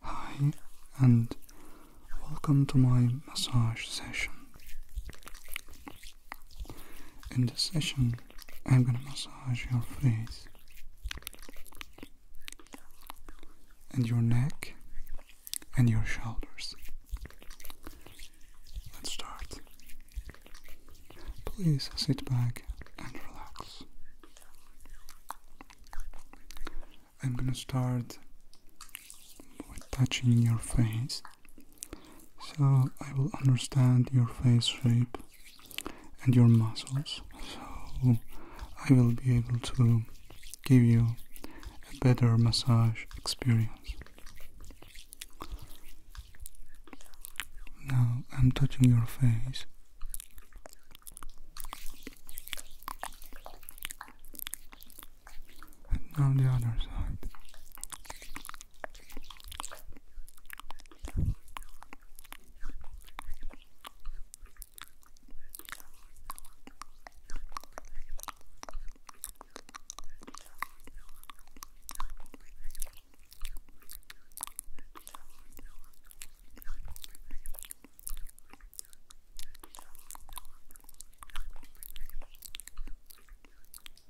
Hi, and welcome to my massage session. In this session, I'm gonna massage your face and your neck and your shoulders. Let's start. Please sit back and relax. I'm gonna start with touching your face so I will understand your face shape and your muscles so I will be able to give you a better massage experience. Now I'm touching your face. And now the other side.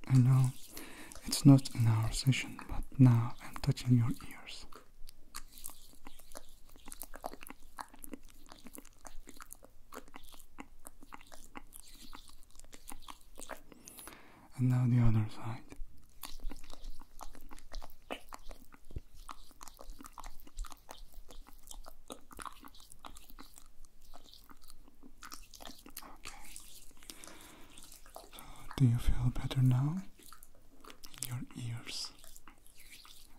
I know it's not an hour session, but now I'm touching your ears and now the other side. Okay. So, do you feel better now? Your ears.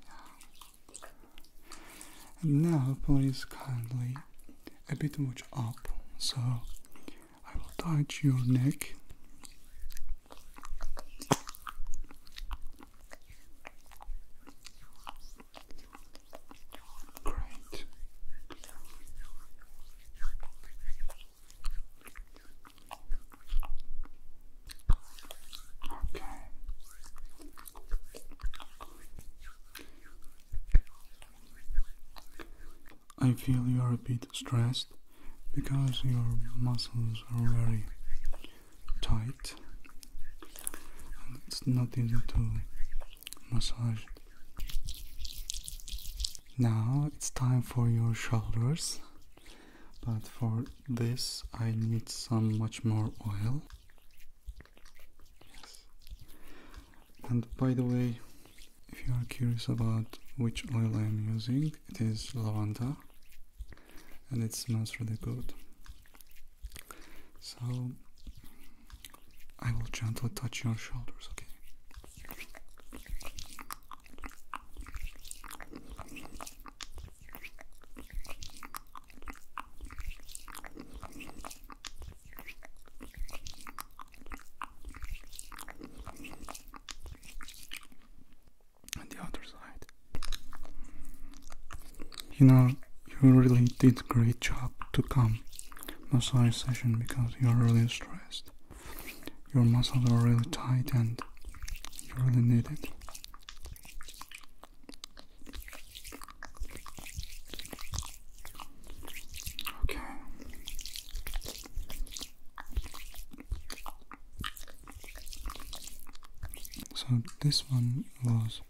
Yeah. And now, please kindly a bit much up so I will touch your neck. Great. Okay. I feel you are a bit stressed because your muscles are very tight and it's not easy to massage Now it's time for your shoulders, but for this I need some much more oil. Yes. And by the way, if you are curious about which oil I am using, it is lavanda and it smells really good. So I will gently touch your shoulders, okay? on the other side. You know, you really did a great job to come massage session because you're really stressed. Your muscles are really tight and you really need it. Okay. So this one was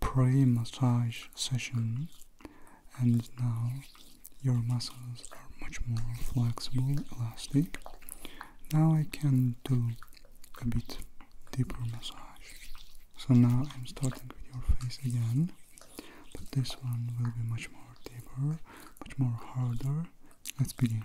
pre-massage session and now your muscles are much more flexible, elastic. Now I can do a bit deeper massage. So now I'm starting with your face again, but this one will be much more deeper, much more harder. Let's begin.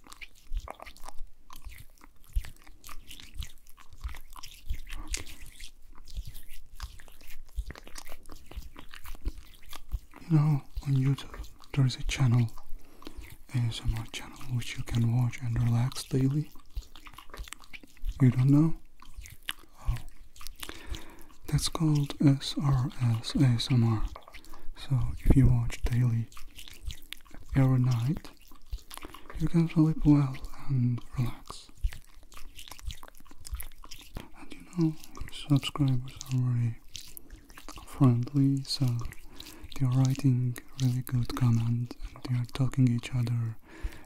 You know, on YouTube there is a channel, ASMR channel, which you can watch and relax daily. You don't know? Oh. That's called SRS ASMR. So if you watch daily every night, you can sleep well and relax. And you know, subscribers are very friendly, so they are writing really good comments and they are talking each other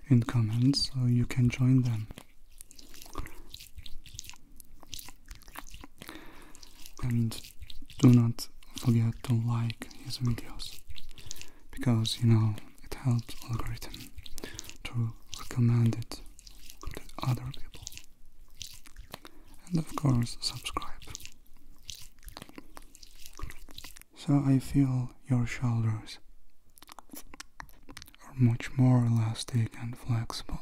in comments, so you can join them and do not forget to like his videos because you know it helps algorithm to recommend it to other people and of course subscribe so I feel your shoulders are much more elastic and flexible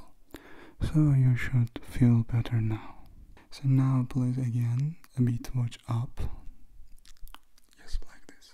so you should feel better now. So now please again a bit watch up. Just like this.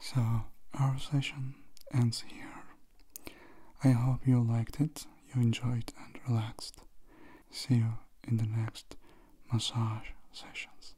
So, our session ends here. I hope you liked it, you enjoyed and relaxed. See you in the next massage sessions.